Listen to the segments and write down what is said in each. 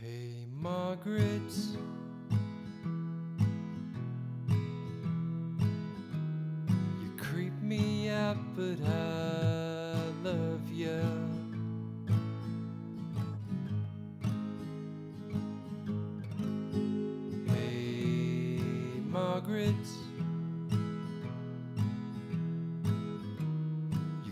Hey, Margaret. You creep me out, but I love you. Hey, Margaret.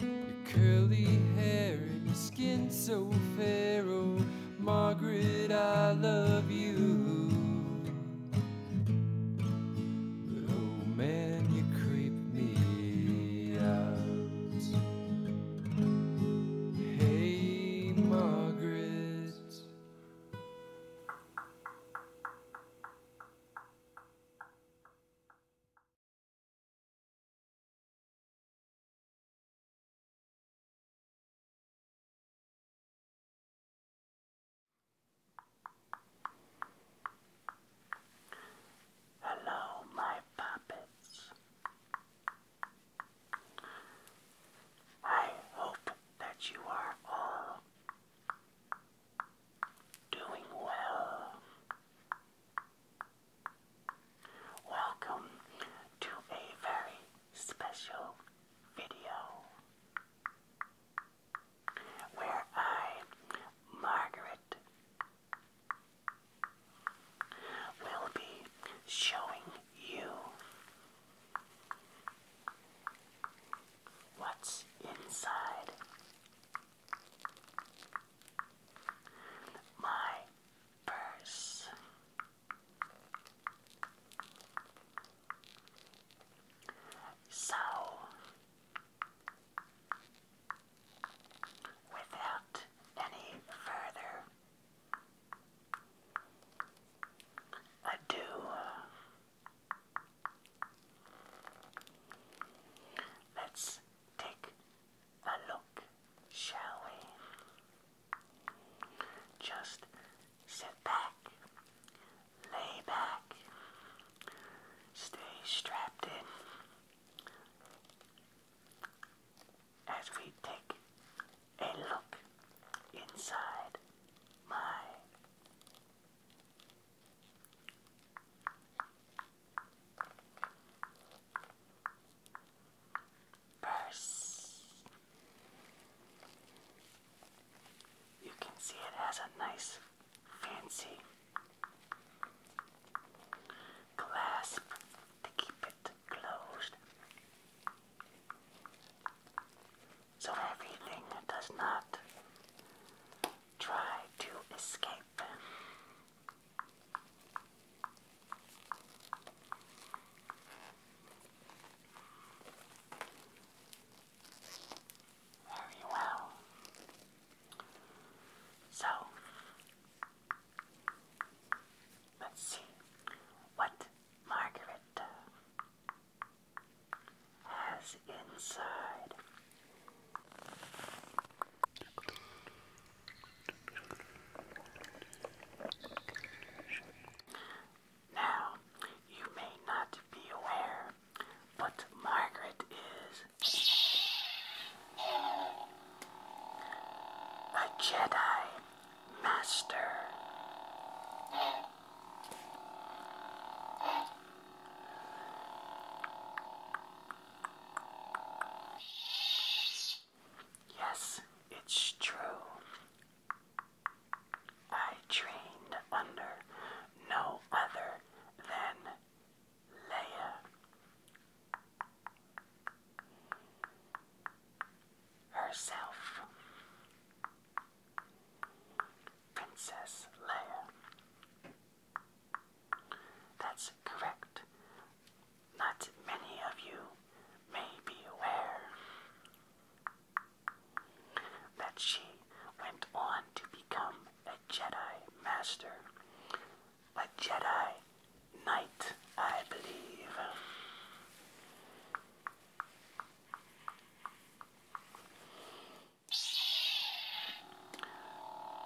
Your curly hair and your skin so fair, oh Margaret, I love you. But oh man, you creep me out. Hey, Margaret. Hello, my puppets. I hope that you are all doing well. Welcome to a very special video where I, Margaret, will be showing you what's inside my purse. So, without any further ado, let's take a look, shall we? Just sit back, lay back, stay strapped in as we take a look inside my purse. You can see it has a nice fancy clasp to keep it closed. So everything does not try to escape. Very well. So, let's see what Margaret has inside now, you may not be aware, but Margaret is a Jedi Master. Yes, it's true. I trained under no other than Leia. Herself, Princess Leia. That's correct. Not many of you may be aware that she went on to become a Jedi Master, a Jedi Knight, I believe.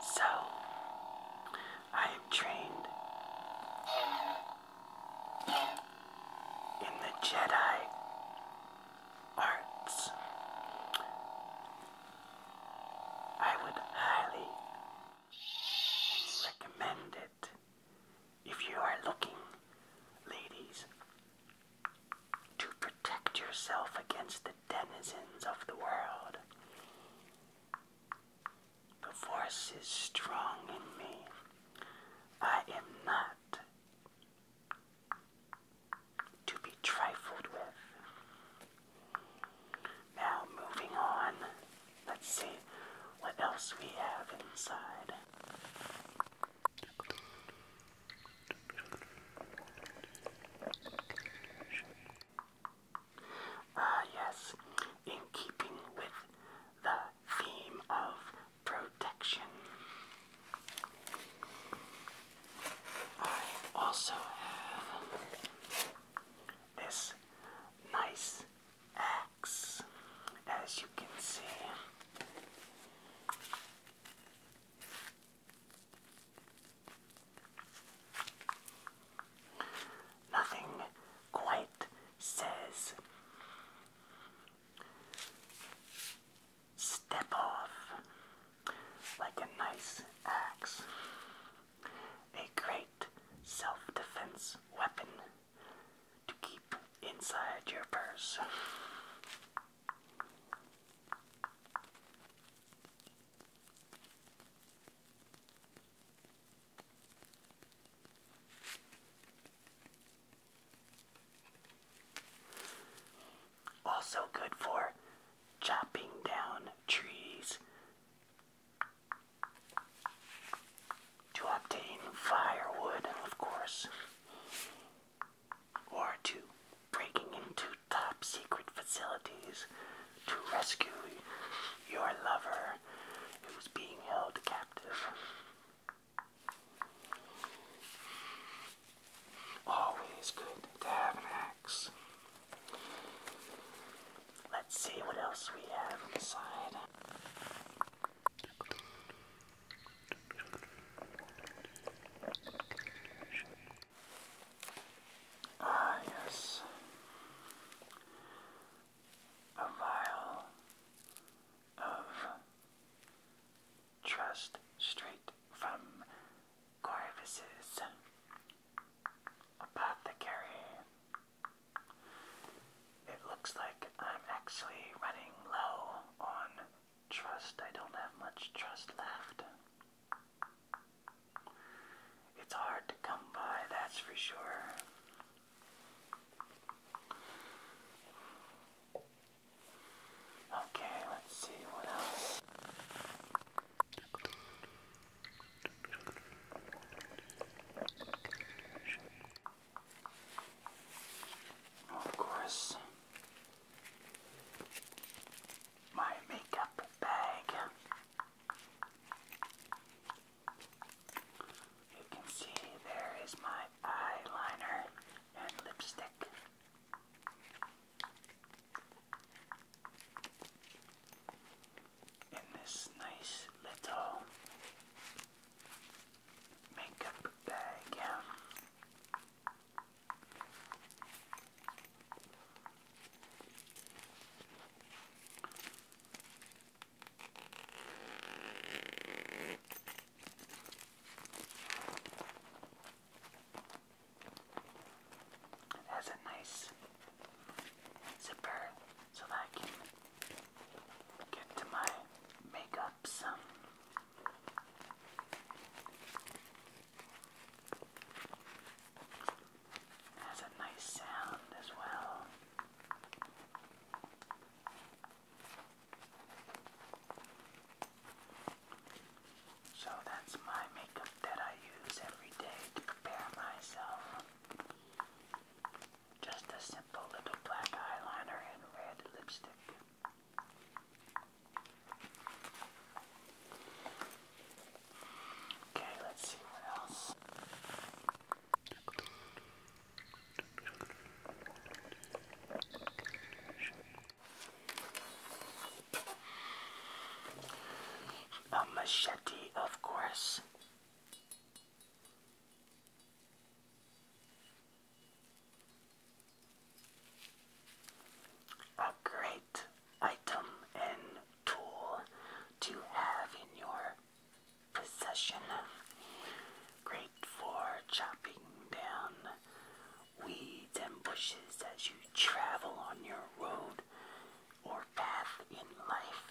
So, I am trained in the Jedi arts. I would highly recommend it if you are looking, ladies, to protect yourself against the denizens of the world. The force is strong in me. I am not to be trifled with. Now, moving on, let's see what else we have inside. Uh, yes, in keeping with the theme of protection. I also have this nice axe, as you can see. Nothing quite says, step off like a nice axe. A great self defense weapon to keep inside your purse. Also good for chopping down trees to obtain firewood, of course, or to breaking into top secret facilities to rescue your lover who's being held captive. Always good to have an axe. Let's see what else we have inside. Ah, yes a mile of trust straight from Corvus's apothecary. It looks like I'm actually running low on trust. I don't have much trust left. It's hard to come by, that's for sure. Okay, let's see what else. Of course, my makeup bag. You can see there is my eyeliner and lipstick. In this nice little makeup bag. It has a nice zipper so that I can get to my makeup that's a nice sound as well. So that's my makeup that I use every day to prepare myself. Just a simple little black eyeliner and red lipstick. Okay, let's see what else. A machete, of course. A great item and tool to have in your possession. Great for chopping down weeds and bushes as you travel on your road or path in life.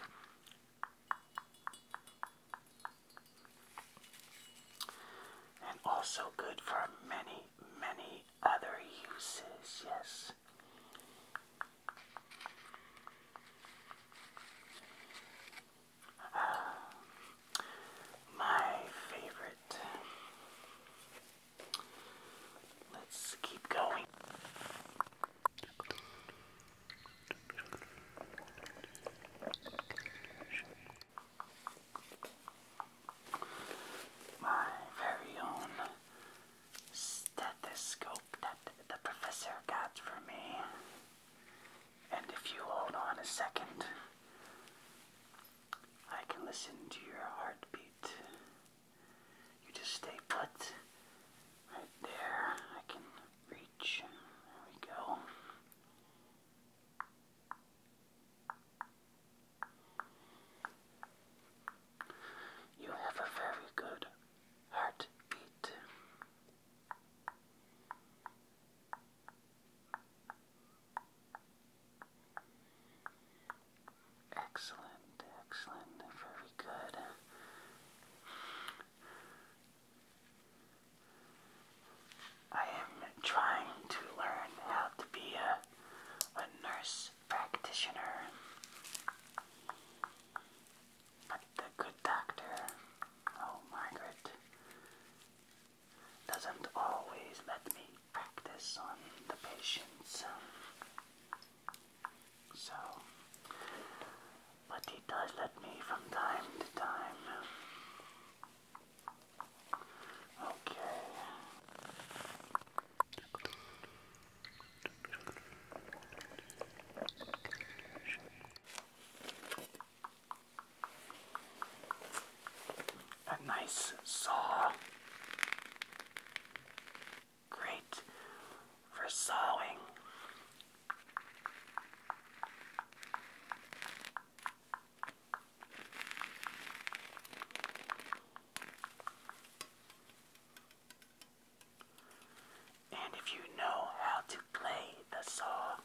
And also good for many, many other uses, yes. Uh, my favorite. Let's keep going. My very own that the scope that the professor got for me. And if you hold on a second, I can listen to your heartbeat. You just stay put right there. I can reach. There we go. You have a very good heartbeat. Excellent, excellent, very good. I am trying to learn how to be a, a nurse practitioner. But the good doctor, oh Margaret, doesn't always let me practice on the patients. Um, so, but he does let me from time to time. Okay. A nice saw. Great for sawing. And if you know how to play the saw,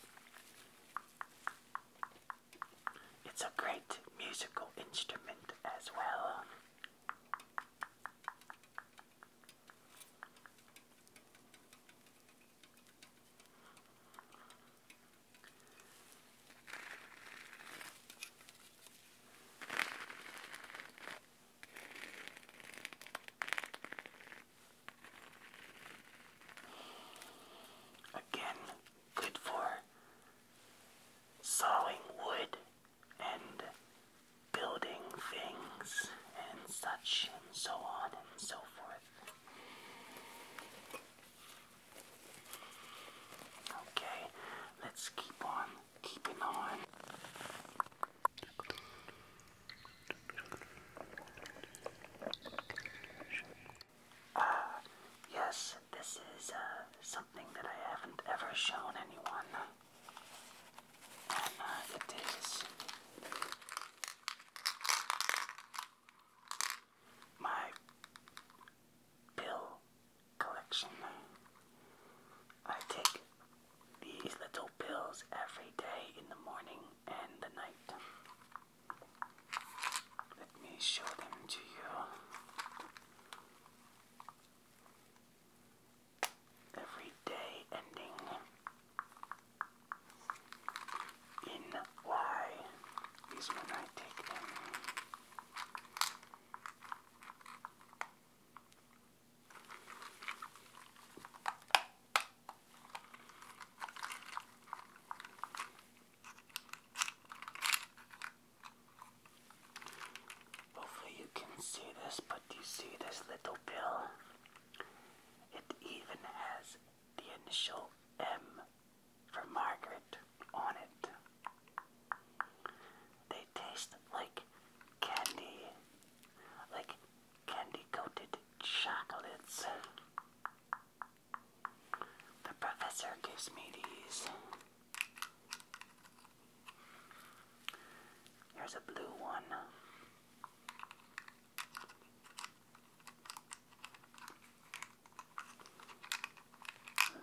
it's a great musical instrument as well. Again, good for sawing wood and building things and such and so on and so forth. Okay, let's keep on keeping on. Uh, yes, this is uh, something that I haven't ever shown anyone. And uh, it is my pill collection. I take these little pills every day in the morning and the night. Let me show them to you. Every day ending in Y is when I take them. Hopefully, you can see this, but you see this little pill? It even has the initial M for Margaret on it. They taste like candy, like candy coated chocolates. The professor gives me these. Here's a blue one.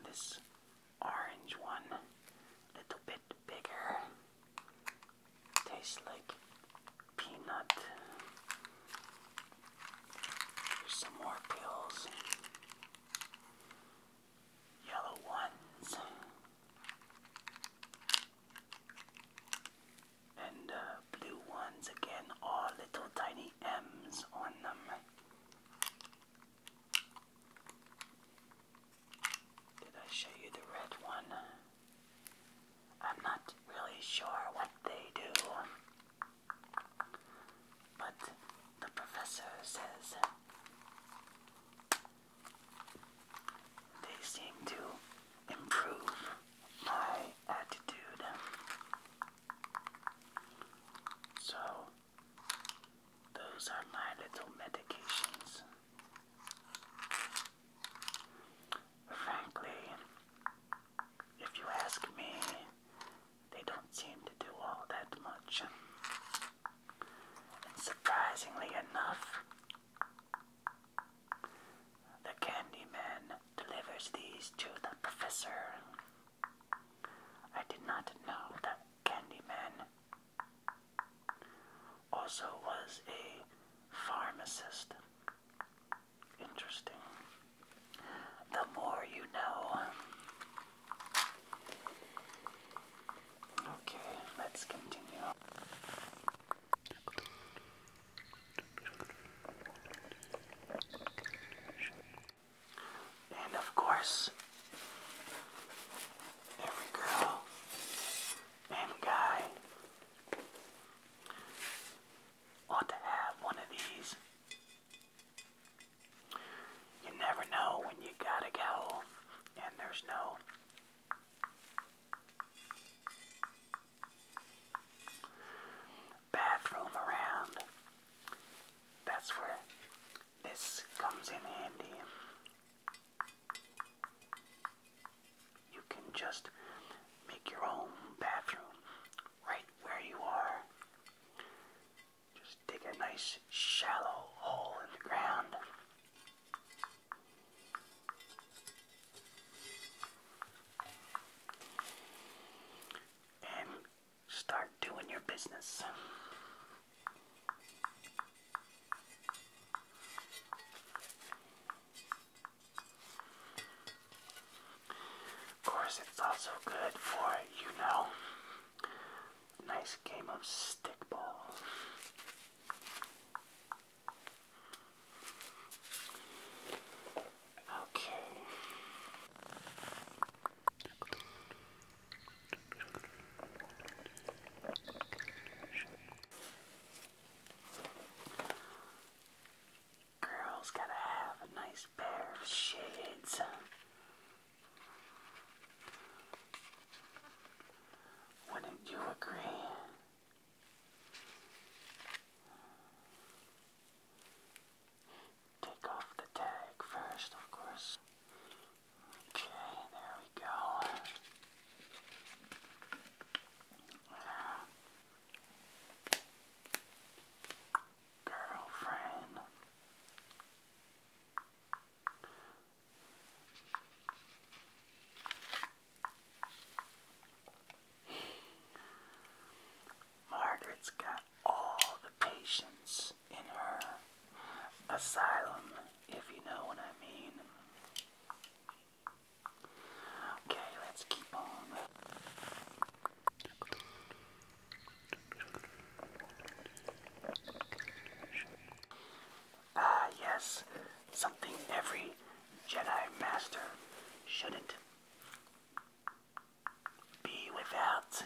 this orange one, a little bit bigger. Tastes like peanut. Here's some more pills. Yellow ones. And uh, blue ones again, all little tiny M's on them. Did I show you the red one? I'm not really sure what they do, but the professor says they seem to improve my attitude. So, those are my little medications. Frankly, if you ask me, they don't seem to do all that much. And surprisingly enough, the Candyman delivers these to the professor. I did not know that Candyman also was a pharmacist. Interesting. The more you know. Okay, let's continue. And of course, every girl and guy Ought to have one of these. You never know when you gotta go, and there's no. Bathroom around. That's where this comes in handy. You can just make your own bathroom right where you are. Just dig a nice shallow hole in the ground. And start doing your business. Of course, it's also good for, you know, nice game of stickball. Okay. Girls gotta have a nice pair of Wouldn't you agree? Take off the tag first, of course. Okay, there we go. Girlfriend. Margaret's got all the patience in her asylum, if you know what I mean. Okay, let's keep on. Ah, yes, something every Jedi Master shouldn't be without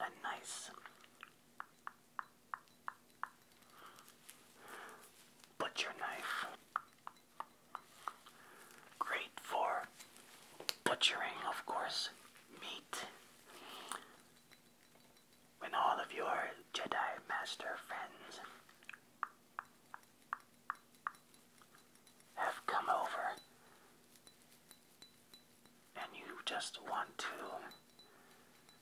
a nice Butcher knife. Great for butchering, of course, meat. When all of your Jedi Master friends have come over and you just want to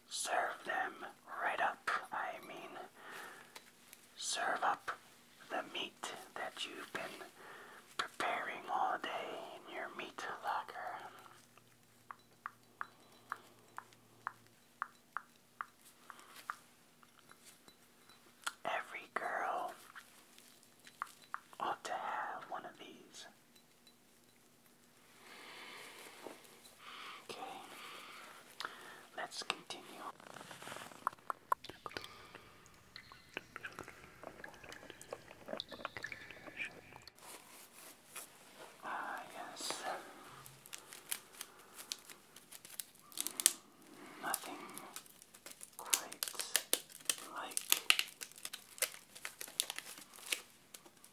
serve them right up. I mean, serve up the meat that you've been preparing all day in your meat locker. Every girl ought to have one of these. Okay, let's continue. Ah, yes. Nothing quite like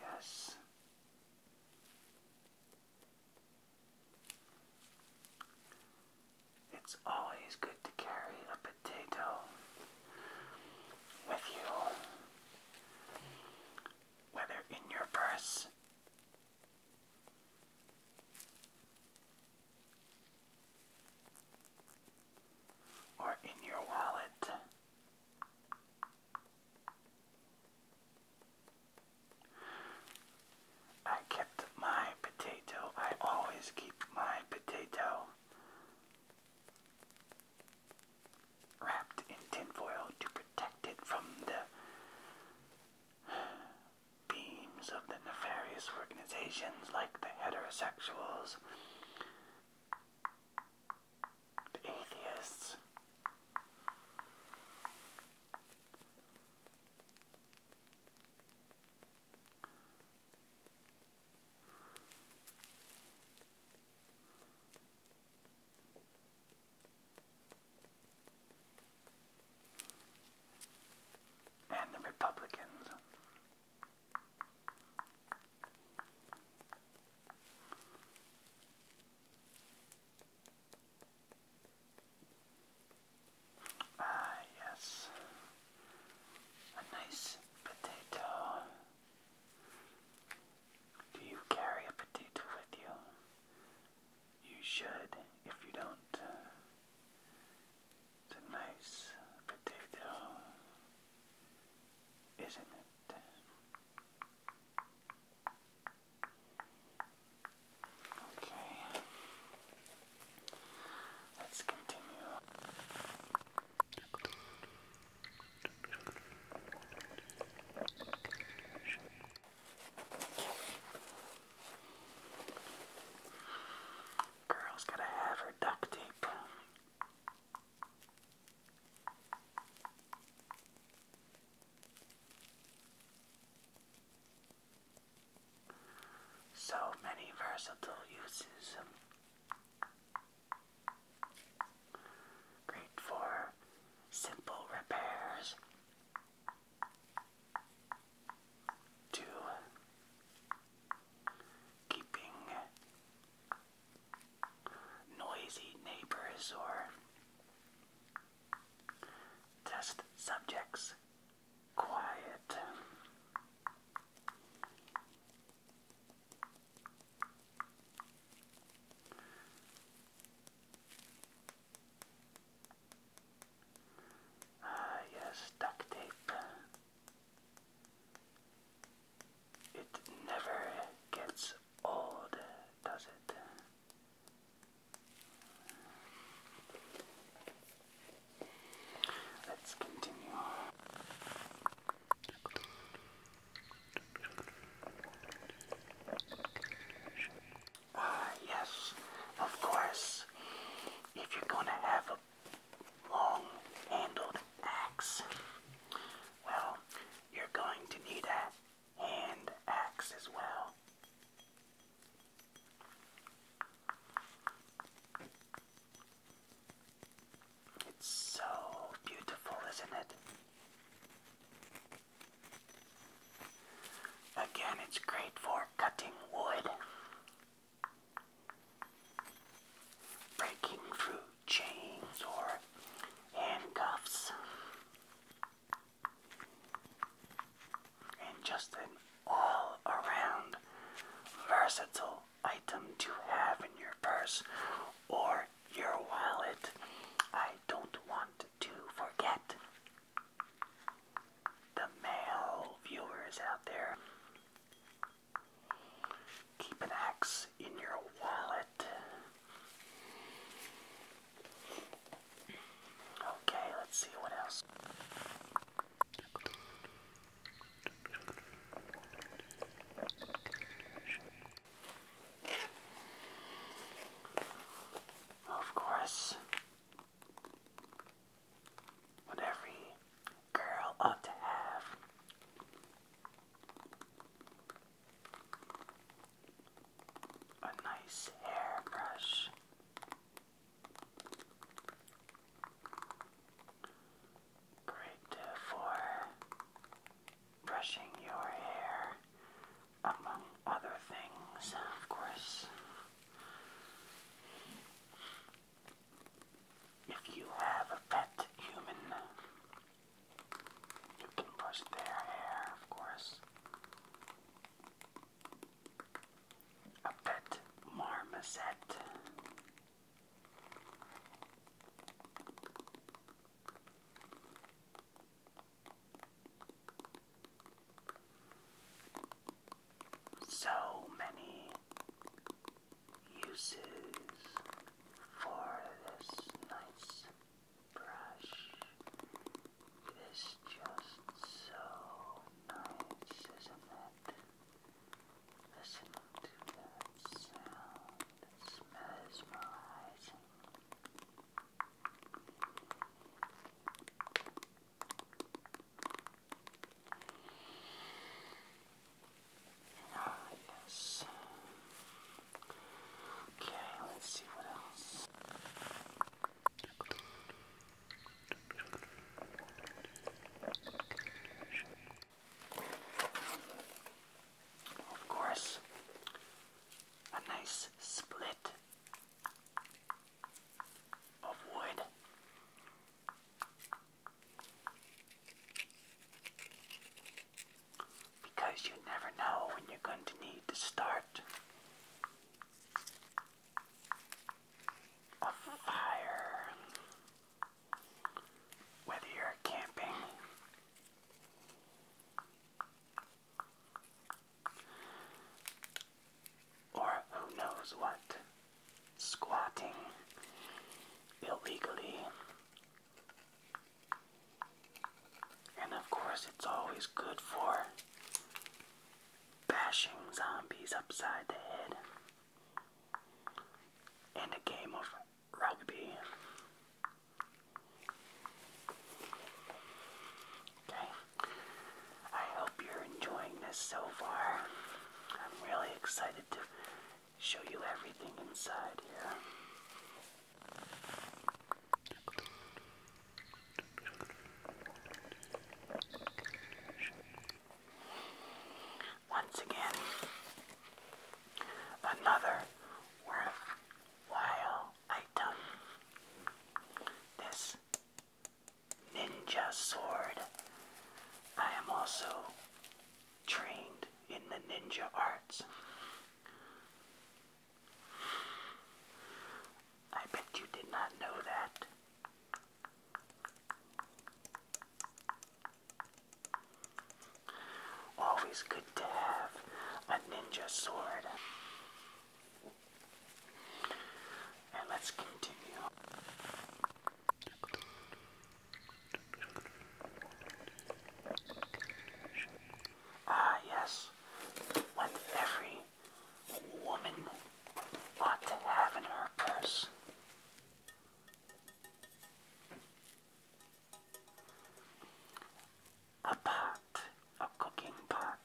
Yes. It's always good to carry a potato with you, whether in your purse or in your wallet. I kept my potato. I always keep my potato wrapped in tinfoil to protect it from the beams of the nefarious organizations like the heterosexuals the atheists. And the Republicans. Ah, yes, a nice potato. Do you carry a potato with you? You should. If you don't, it's a nice potato, isn't it? Okay. Let's continue. Girl's gotta have her duct tape. So many versatile uses. Great for simple repairs to keeping noisy neighbors or test subjects quiet. Ah, yes, duct tape. It never gets old, does it? Let's continue. Ah, yes, of course. If you're going to have a long handled axe, well, you're going to need a and axe as well. It's so beautiful, isn't it? Again, it's great for cutting wood, breaking fruit chains or handcuffs, and just an all around versatile item to have in your purse or your wallet. I don't want to forget the male viewers out there. Keep an axe in your wallet. Okay, let's see what else. Of course, what girl ought to have a nice hairbrush. Great uh, for brushing your hair, among other things, of course. If you have a pet human, you can brush their hair, of course. A pet marmoset. So many uses for this nice brush. It's just so nice, isn't it? Listen to that sound. It's mesmerizing. Nice. Ah, Okay, let's see what else. Of course, a nice split of wood because you never know when you're going to need to start a fire. Whether you're camping, or who knows what, squatting illegally and of course, it's always good for bashing zombies upside the head. And a game of rugby. Okay, I hope you're enjoying this so far. I'm really excited to show you everything inside here. Once again, another worthwhile item. This ninja sword. I am also trained in the ninja arts. I bet you did not know that. Always good to have a ninja sword. And let's continue. Ah, yes what every woman ought to have in her purse. A pot, a cooking pot.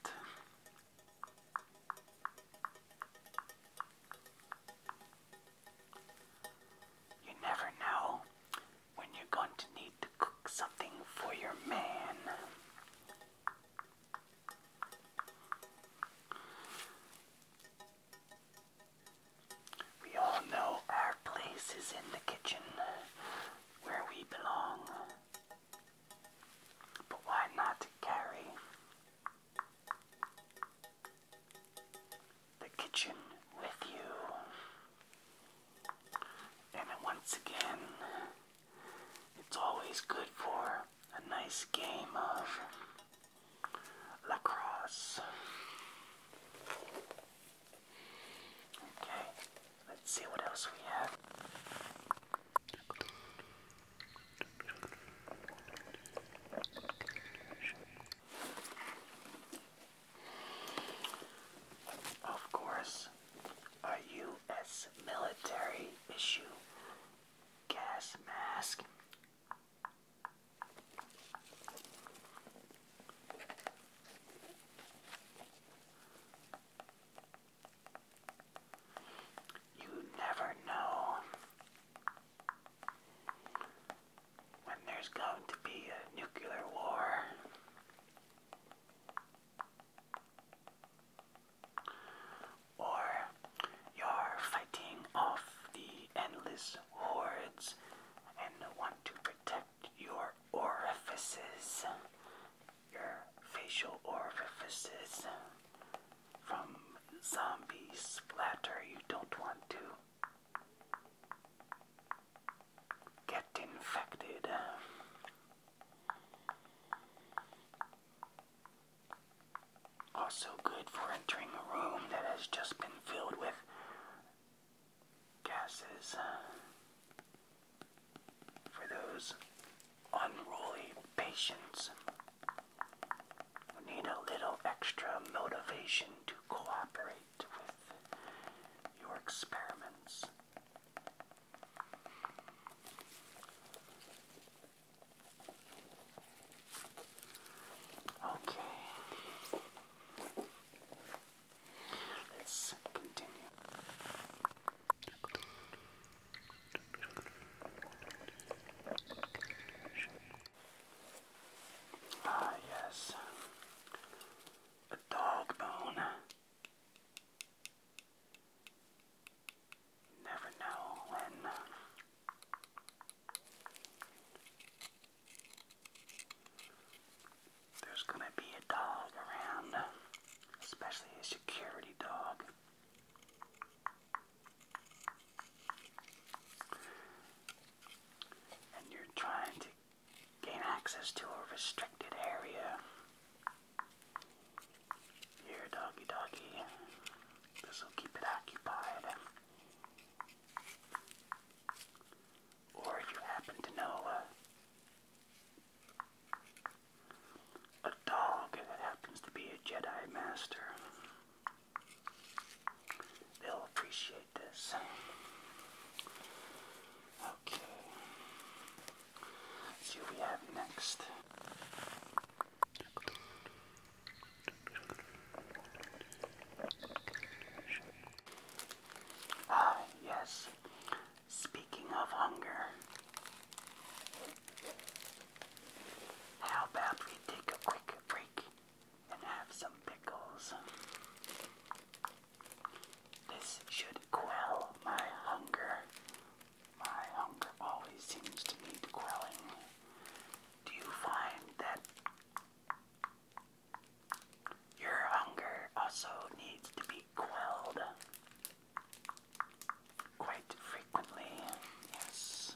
You never know when you're going to need to cook something for your man. We all know our place is in the kitchen where we belong. But why not carry the kitchen with you? And once again, it's always good for a nice game of lacrosse. Okay, let's see what else we have. Of course, a U.S. military issue gas mask. You never know when there's going to be a nuclear war. Or you're fighting off the endless hordes and want to protect your orifices, your facial orifices from zombie splatter you don't want to get infected. Also good for entering a room that has just been filled with gases. Uh, for those unruly patients who need a little extra motivation to cooperate with your experiments. Okay. Let's continue. Ah, yes. A dog bone. Never know when. There's gonna be a dog around, especially a security dog. And you're trying to Gain access to a restricted area. Here, doggy doggy. This will keep it occupied. Or you happen to know uh, a dog that happens to be a Jedi Master, they'll appreciate this. Okay. see we have next. Ah, yes. Speaking of hunger, how about we take a quick break and have some pickles? This should quell my hunger. My hunger always seems to need quelling. Do you find that your hunger also needs to be quelled? Quite frequently, yes.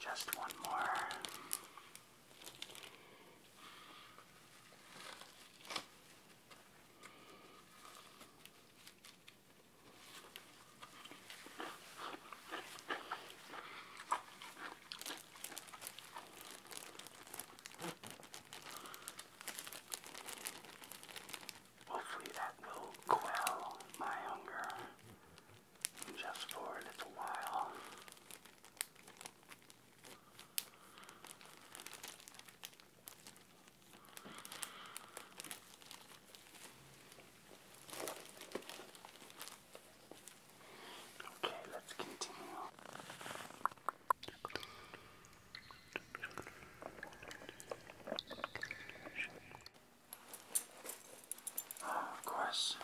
just one more. Hopefully that will quell my hunger just for a little while. Okay, let's continue of course.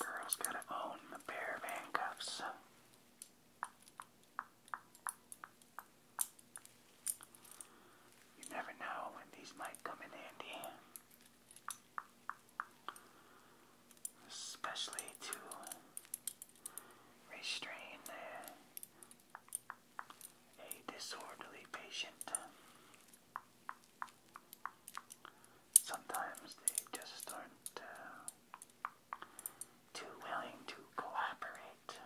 Girls gotta own a pair of handcuffs. You never know when these might come in handy. Especially to restrain a disorderly patient. Sometimes they just aren't uh, too willing to cooperate.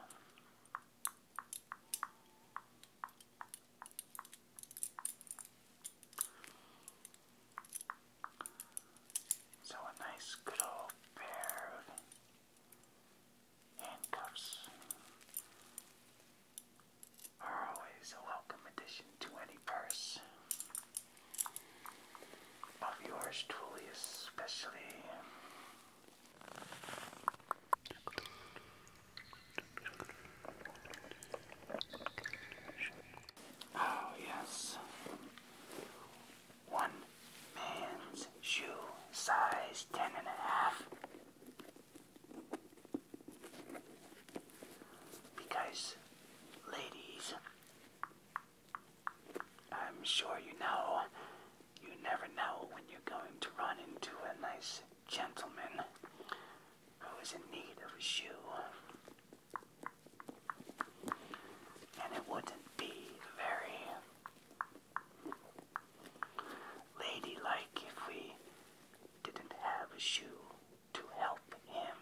So a nice good old pair of Handcuffs are always a welcome addition to any purse of yours truly, especially. Oh, yes. One man's shoe, size ten and a half, because, ladies, I'm sure you know, you never know when you're going to run into a nice gentleman who is in need of a shoe. And it wouldn't be very ladylike if we didn't have a shoe to help him.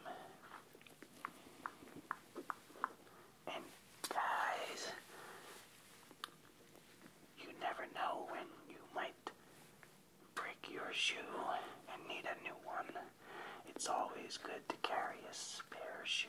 And guys, you never know when you might break your shoe and need a new one. It's always good to carry a spare shoe.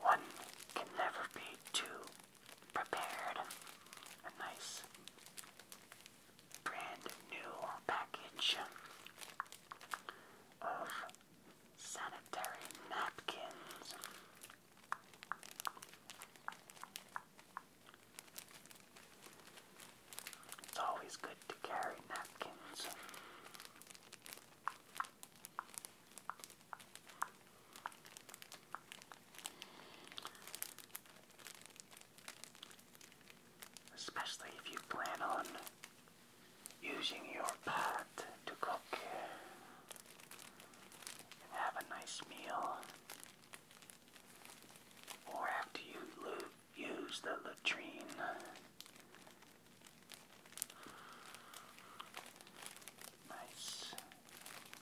One can never be too prepared. A nice brand new package of sanitary napkins. It's always good to carry napkins. Especially if you plan on using your pot to cook and have a nice meal, or after you use the latrine. Nice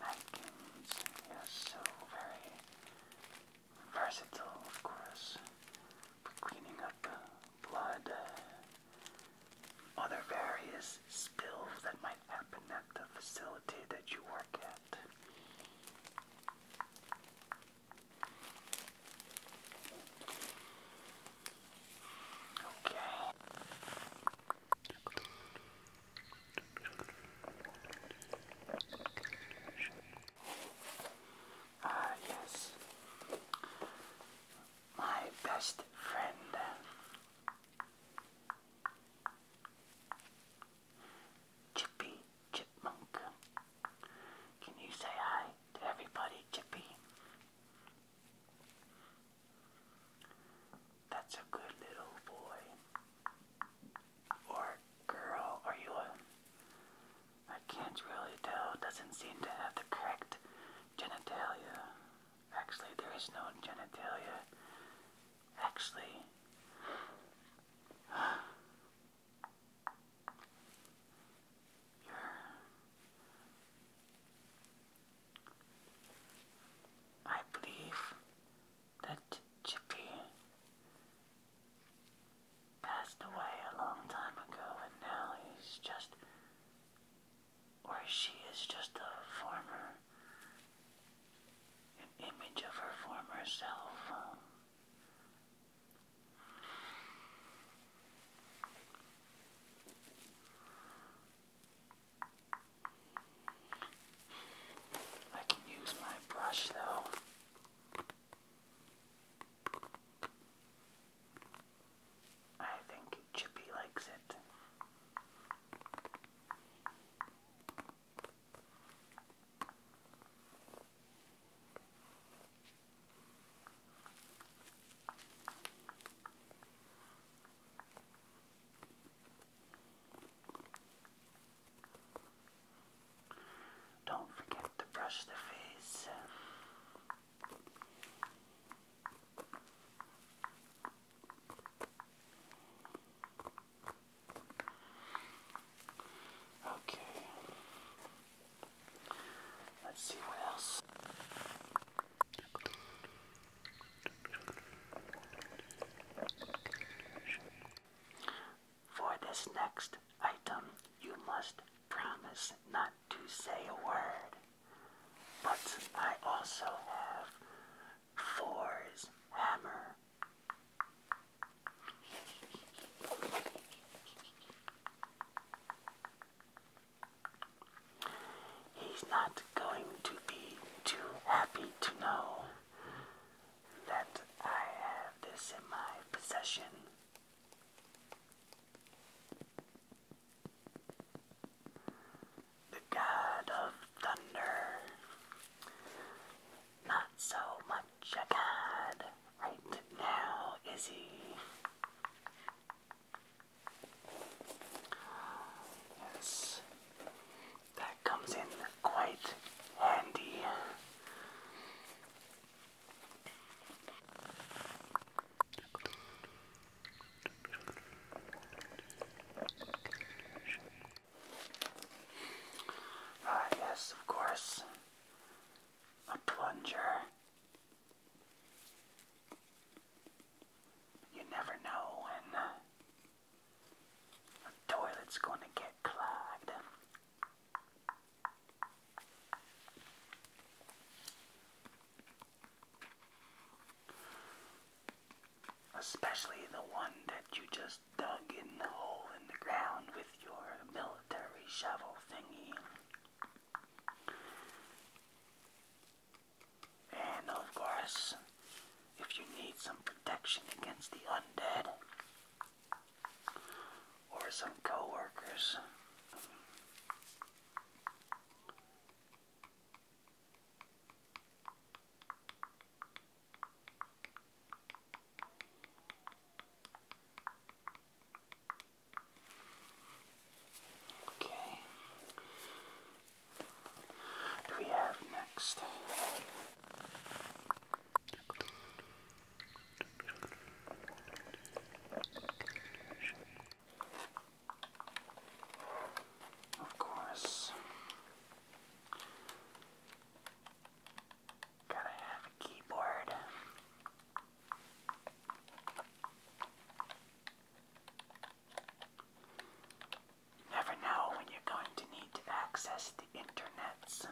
napkins. Yes, so very versatile, of course, for cleaning up uh, blood, uh, other various spills that might happen at the facility that you work at. Okay. Ah, yes. My best friend. Chippy chipmunk. Can you say hi to everybody, Chippy? That's a good little boy. Or girl, are you a. I can't really tell. Doesn't seem to have the correct genitalia. Actually, there is no genitalia. Actually, I believe that Chippy passed away a long time ago, and now he's just, or she is just a former, an image of her former self. I can use my brush though. I think Chippy likes it. Don't forget to brush the face. Okay. Let's see what else. For this next item, you must promise not to say a word. But I also have Thor's hammer. He's not going to be too happy to know that I have this in my possession. The God of Thunder. Not so much a god, Right now, Izzy. Yes, that comes in quite handy. Ah, yes, of course a plunger. You never know when a toilet's going to get clogged. Especially the one that you just dug in the hole in the ground your military shovel thingy. And of course, if you need some protection against the undead or some coworkers. Okay. What do we have next? Of course. Gotta have a keyboard. You never know when you're going to need to access the internets.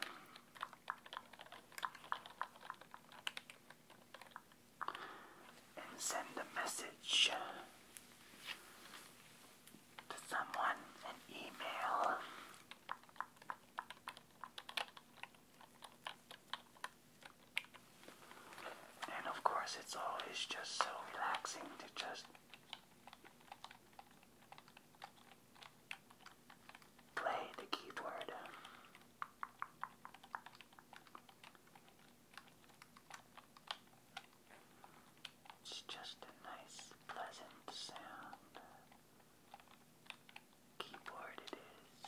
And send a message to someone, an email. And of course, it's always just so relaxing to just play the keyboard. It's just a nice, pleasant sound keyboard it is.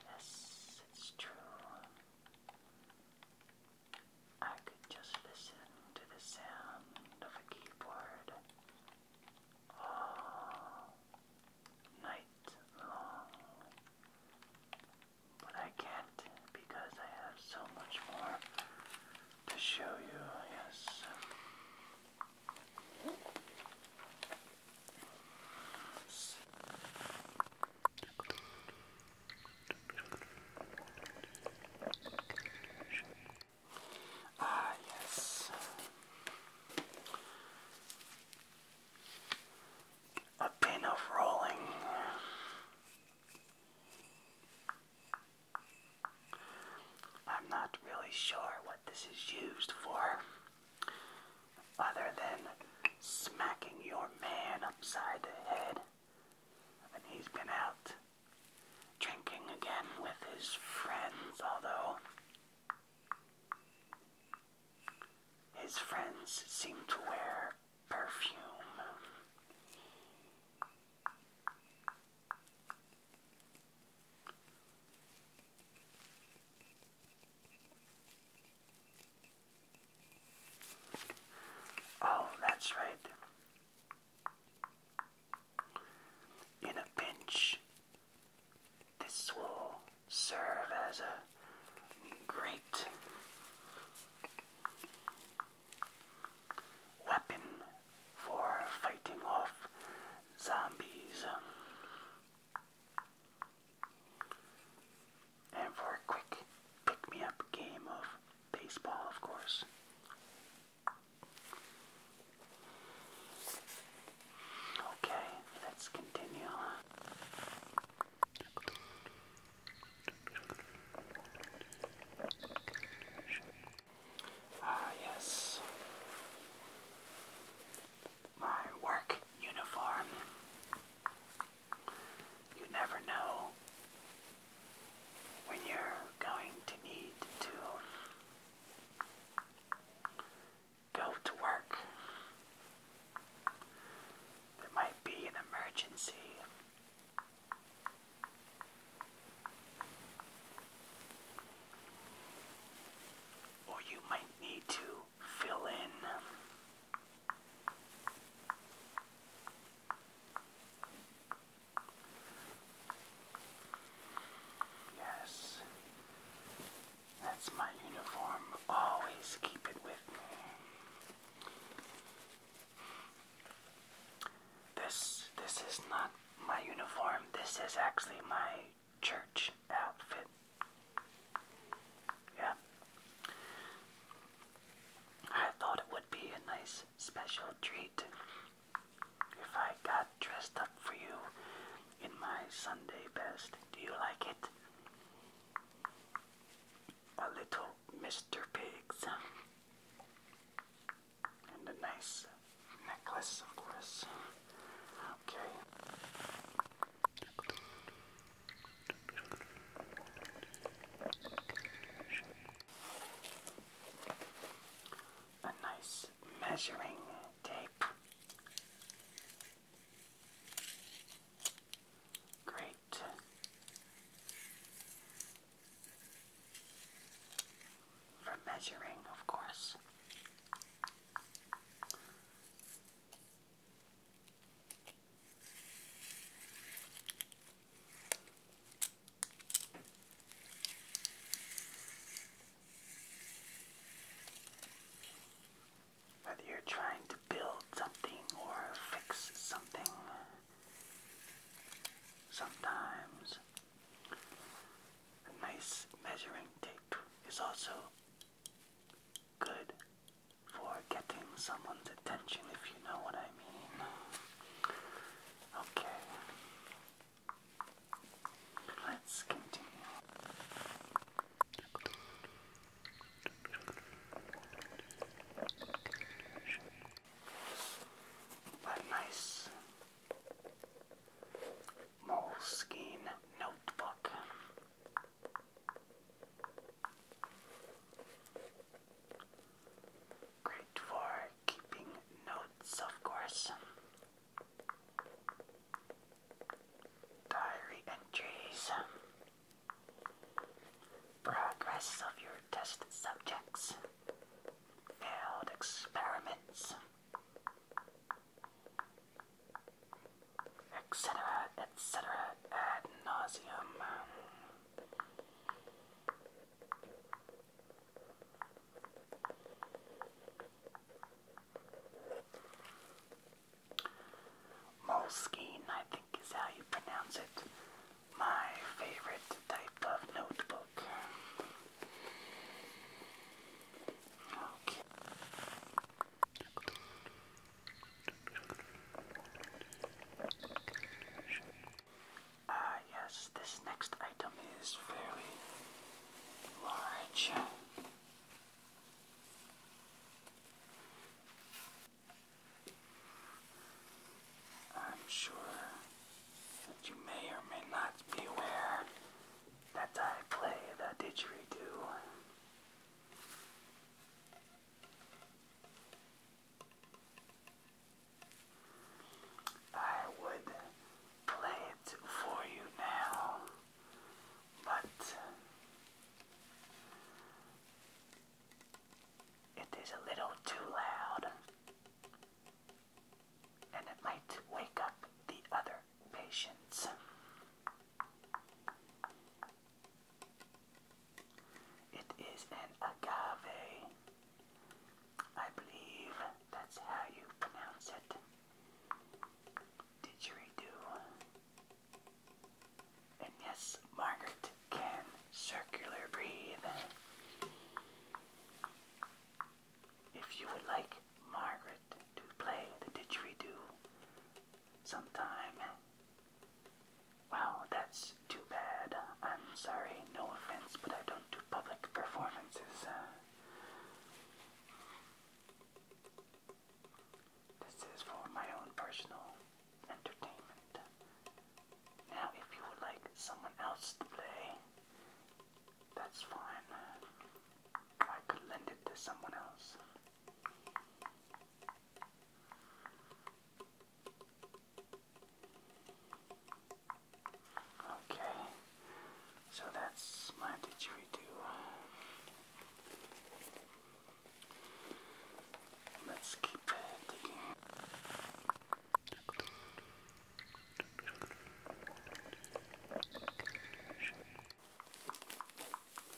Yes, it's true. I could just listen to the sound of a keyboard all night long. But I can't because I have so much more to show you. Yes. Ah, yes. A pin of rolling. I'm not really sure what this is used for. Other than smacking your man upside the head, and he's been out drinking again with his friends, although his friends seem to wear perfume. Oh, that's right. In a pinch, this will serve as a great weapon for fighting off zombies. And for a quick pick me up game of baseball, of course. Okay, let's continue. Ah, yes my work uniform. You never know when you're going to need to go to work. There might be an emergency or you might need to fill in Yes. That's my uniform. Always keep it with me. This this is not my uniform. This is actually my church outfit. Yeah. I thought it would be a nice special treat if I got dressed up for you in my Sunday best. Do you like it? A little Mr. Pigs. And a nice necklace, of course. Okay. A nice measuring tape. Great. For measuring, of course. Whether you're trying to build something or fix something, sometimes a nice measuring tape is also good for getting someone's attention, if you know what I mean. Okay. Let's continue. nice moleskin notebook. Great for keeping notes, of course. Diary entries, progress of your test subjects, failed experiments, etc., etc., ad nauseum. Moleskine, I think, is how you pronounce it. My favorite type of notebook. Okay. Ah, yes, this next item is very large. I'm sure that you may or may not be aware that I play the didgeridoo. I would play it for you now, but it is a little too loud and it might wake up the other patience. It is an agave. I believe that's how you pronounce it. Didgeridoo. And yes, Margaret can circular breathe. If you would like Margaret to play the didgeridoo, sometime. Wow, that's too bad. I'm sorry, no offense, but I don't do public performances. Uh. this is for my own personal entertainment. Now, if you would like someone else to play, that's fine. I could lend it to someone else. Okay, so that's my didgeridoo. Let's keep uh,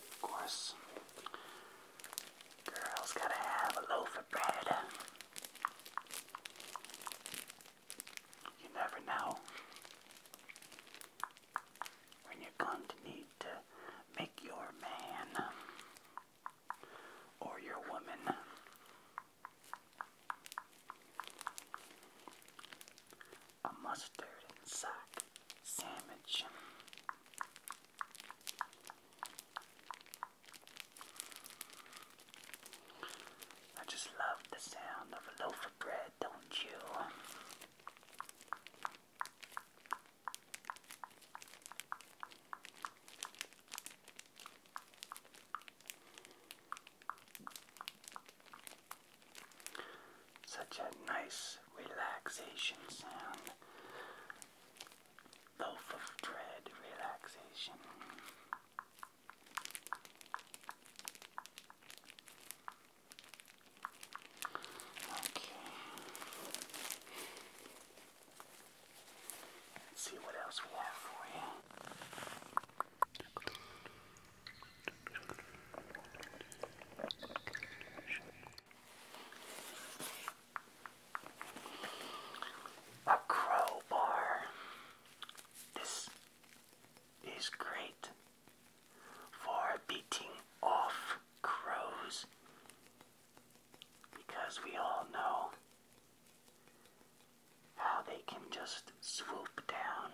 of course, girls gotta have a loaf of bread. You never know when you're going to need to make your man or your woman a mustard and sack sandwich. I just love the sound of a loaf of bread, don't you? Such a nice relaxation sound. Loaf of dread relaxation. Okay. Let's see what else we have for you. A crowbar. This is great for beating off crows because we all know how they can just swoop down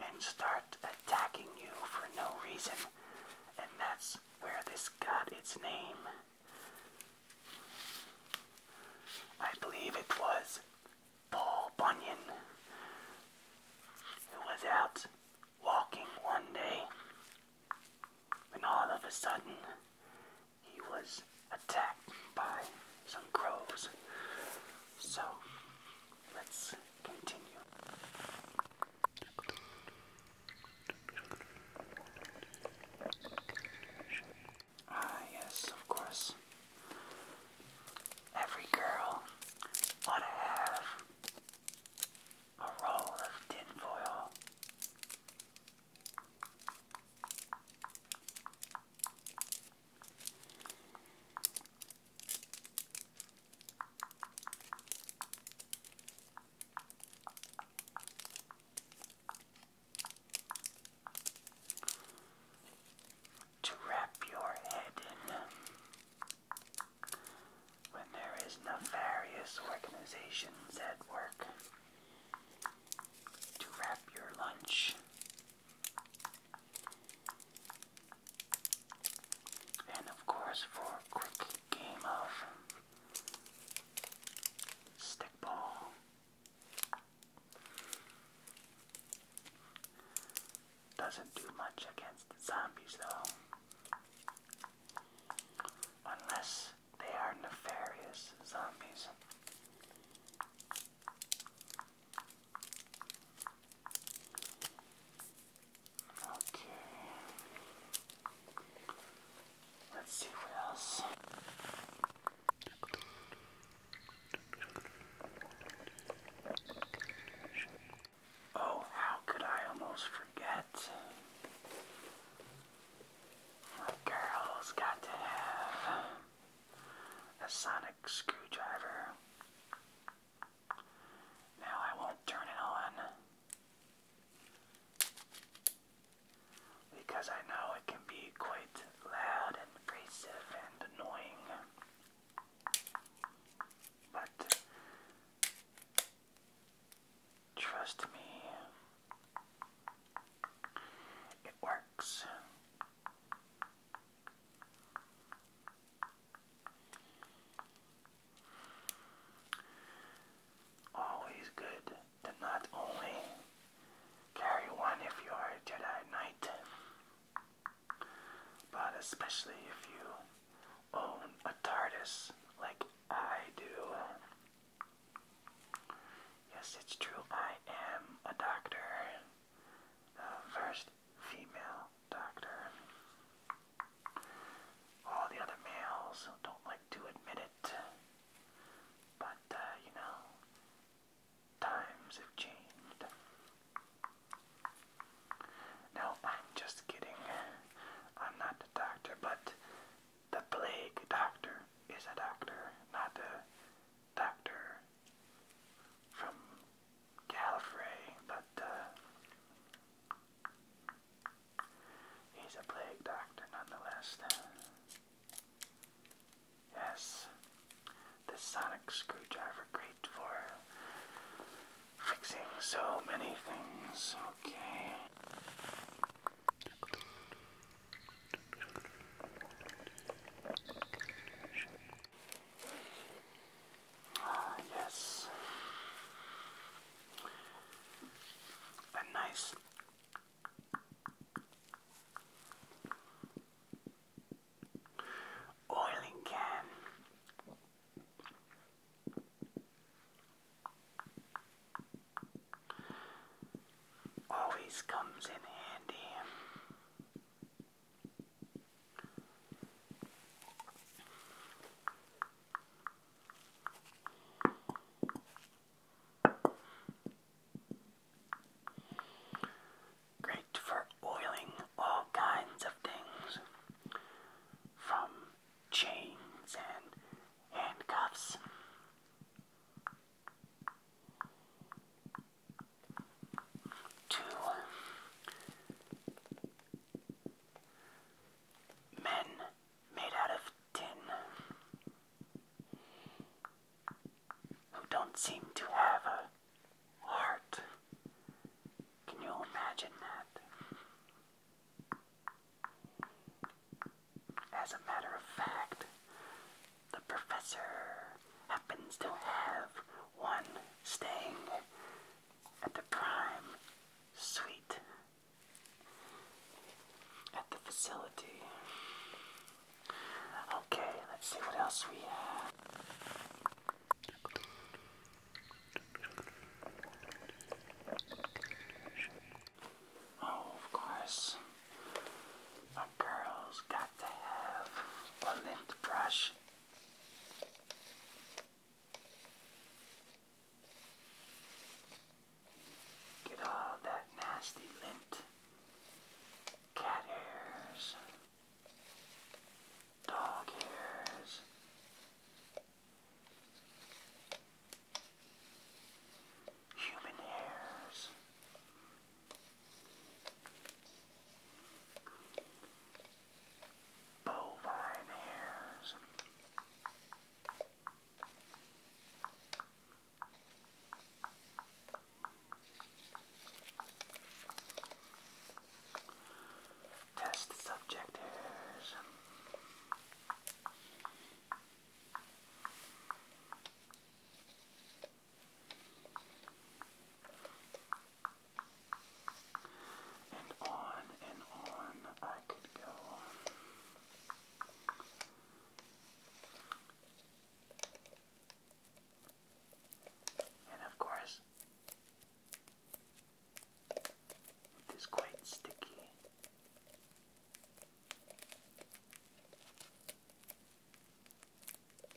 and start attacking you for no reason. And that's where this got its name. I believe it was Paul Bunyan who was out walking one day when all of a sudden he was attacked by some crows. So let's continue. Ah, yes, of course. Every girl ought to have a roll of tinfoil. To wrap your head in when there is nefarious organizations at work. To wrap your lunch and of course, for a quick game of stickball, doesn't do much against zombies though, unless they are nefarious zombies. Okay. Let's see what else. Oh, how could I almost forget? girls got to have a sonic screwdriver. Now I won't turn it on because I know it can be quite loud and abrasive and annoying. But trust me, it works. Always good to not only carry one if you're a Jedi Knight, but especially if you own a TARDIS like I do. Yes, it's true, I am a doctor the first female doctor. All the other males don't like to admit it, but uh, you know, times have changed. No, I'm just kidding. I'm not the doctor, but the plague doctor is a doctor, not the doctor from Gallifrey, but uh, he's a plague doctor nonetheless. Yes, the sonic screwdriver great for fixing so many things. Okay. Ah, yes. A nice oiling can. Always comes in handy. Great for oiling all kinds of things, from chains and handcuffs. Two men made out of tin who don't seem to have a heart. Can you imagine that? As a matter of fact, the professor happens to have one staying at the prime suite at the facility. Okay, let's see what else we have. Oh, of course. My got to have a lint brush. Get all that nasty lint, cat hairs, dog hairs. Human hairs, Bovine hairs. Test subject hairs. And on and on I could go. And of course, it is quite sticky.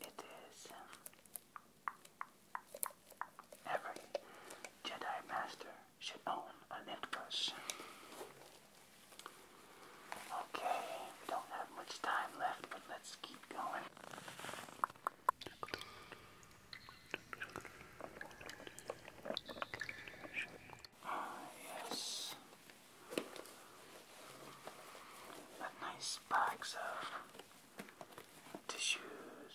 It is um, every Jedi Master should own a knit Okay, we don't have much time left, but let's keep going. Ah, yes. Got nice bags of tissues,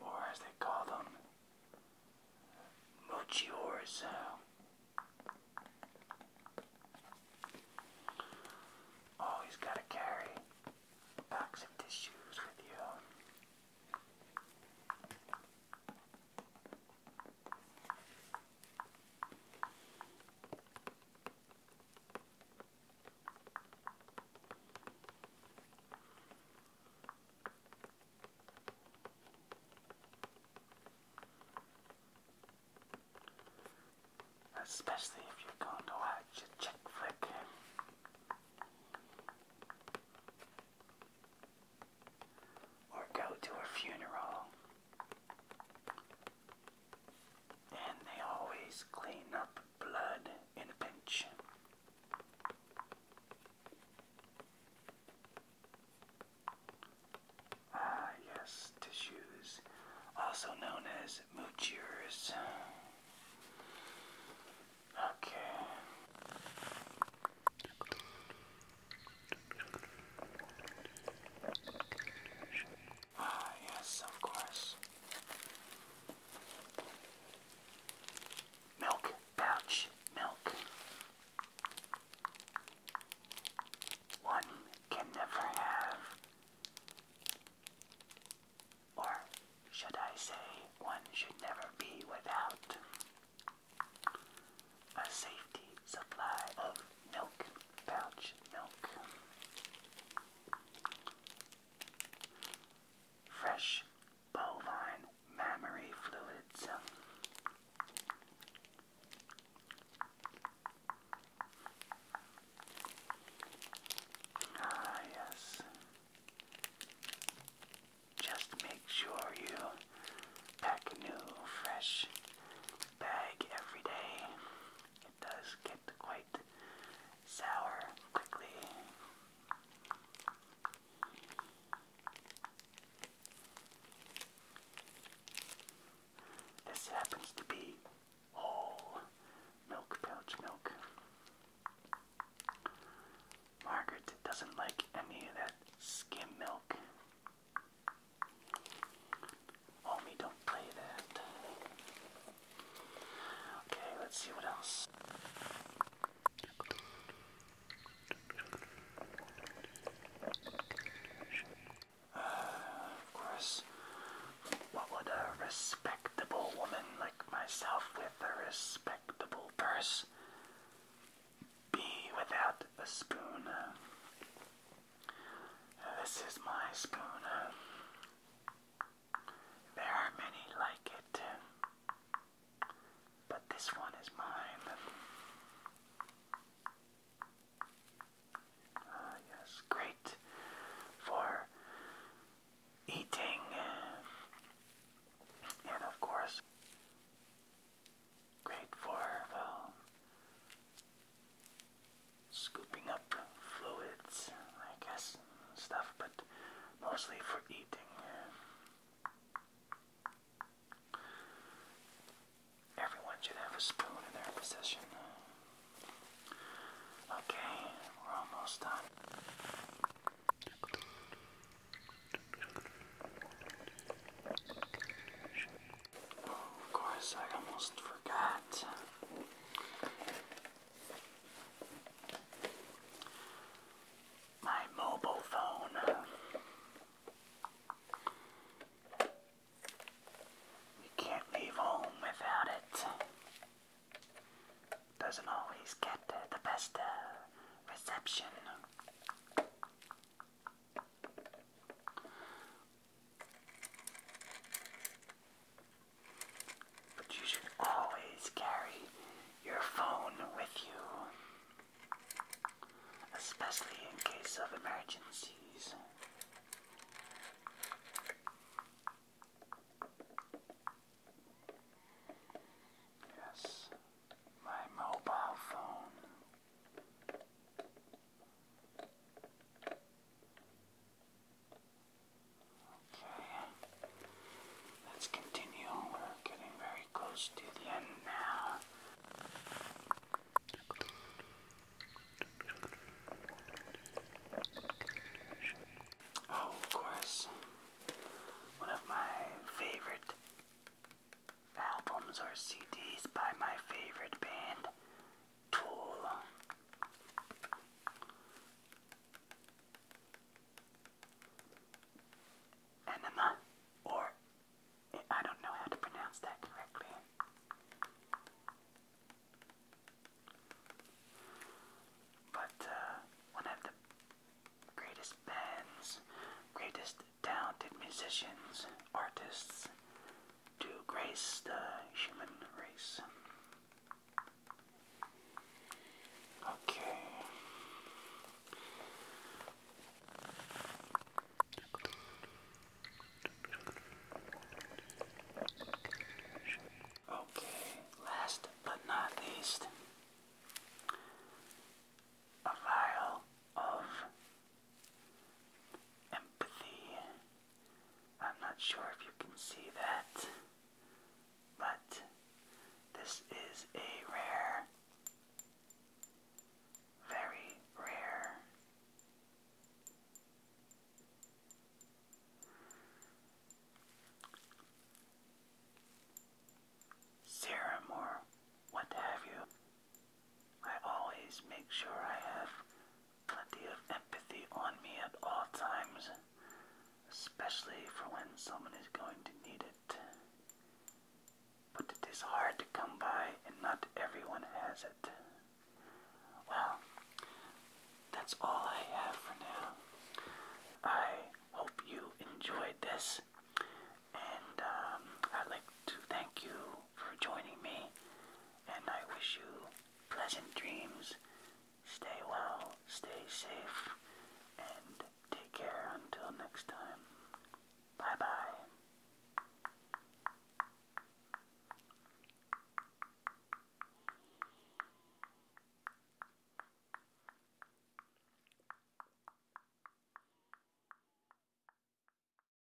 or as they call them, mochiors. Always gotta carry packs of tissues with you. Especially if you're going to watch a chick flick or go to a funeral. And they always clean up blood in a pinch. Ah, yes, tissues, also known as moochers. Okay. Ah, yes, of course. Milk pouch, milk. One can never have, or should I say, one should never be without a safety supply of milk, pouch milk. Fresh bovine mammary fluids. Ah, yes. Just make sure you pack a new, fresh bag every day. It does get quite sour quickly. This happens to be whole milk pouch milk. Margaret doesn't like any of that skim milk. Homie, don't play that. Okay, let's see what else. Uh, of course, what would a respectable woman like myself with a respectable purse be without a spoon? This is my spoon. There are many like it, but this one is mine. Uh, yes, great for eating, and of course, Great for um, scooping up fluids, I guess, stuff, but mostly for eating. Everyone should have a spoon in their possession. Okay, we're almost done of course, I almost forgot. My mobile phone. You can't leave home without it. Doesn't always get the best uh, reception. But you should always carry your phone with you, especially in case of emergencies. Yes, my mobile phone. Okay, let's continue. We're getting very close to the end now. Oh, of course, one of my favorite albums or CDs by my favorite band, Tool. Enema, or I don't know how to pronounce that correctly. But uh, one of the greatest bands, greatest talented musicians, artists to grace the human race. Okay. Okay, last but not least, a vial of empathy. I'm not sure if you can see that, but this is a rare, very rare. Serum or what have you. I always make sure I have plenty of empathy on me at all times, especially for when someone is going to need it. But it is hard to come by, and not everyone has it. Well, that's all I have for now. I hope you enjoyed this, and um, I'd like to thank you for joining me, and I wish you pleasant dreams. Stay well, stay safe, and take care until next time. Bye bye.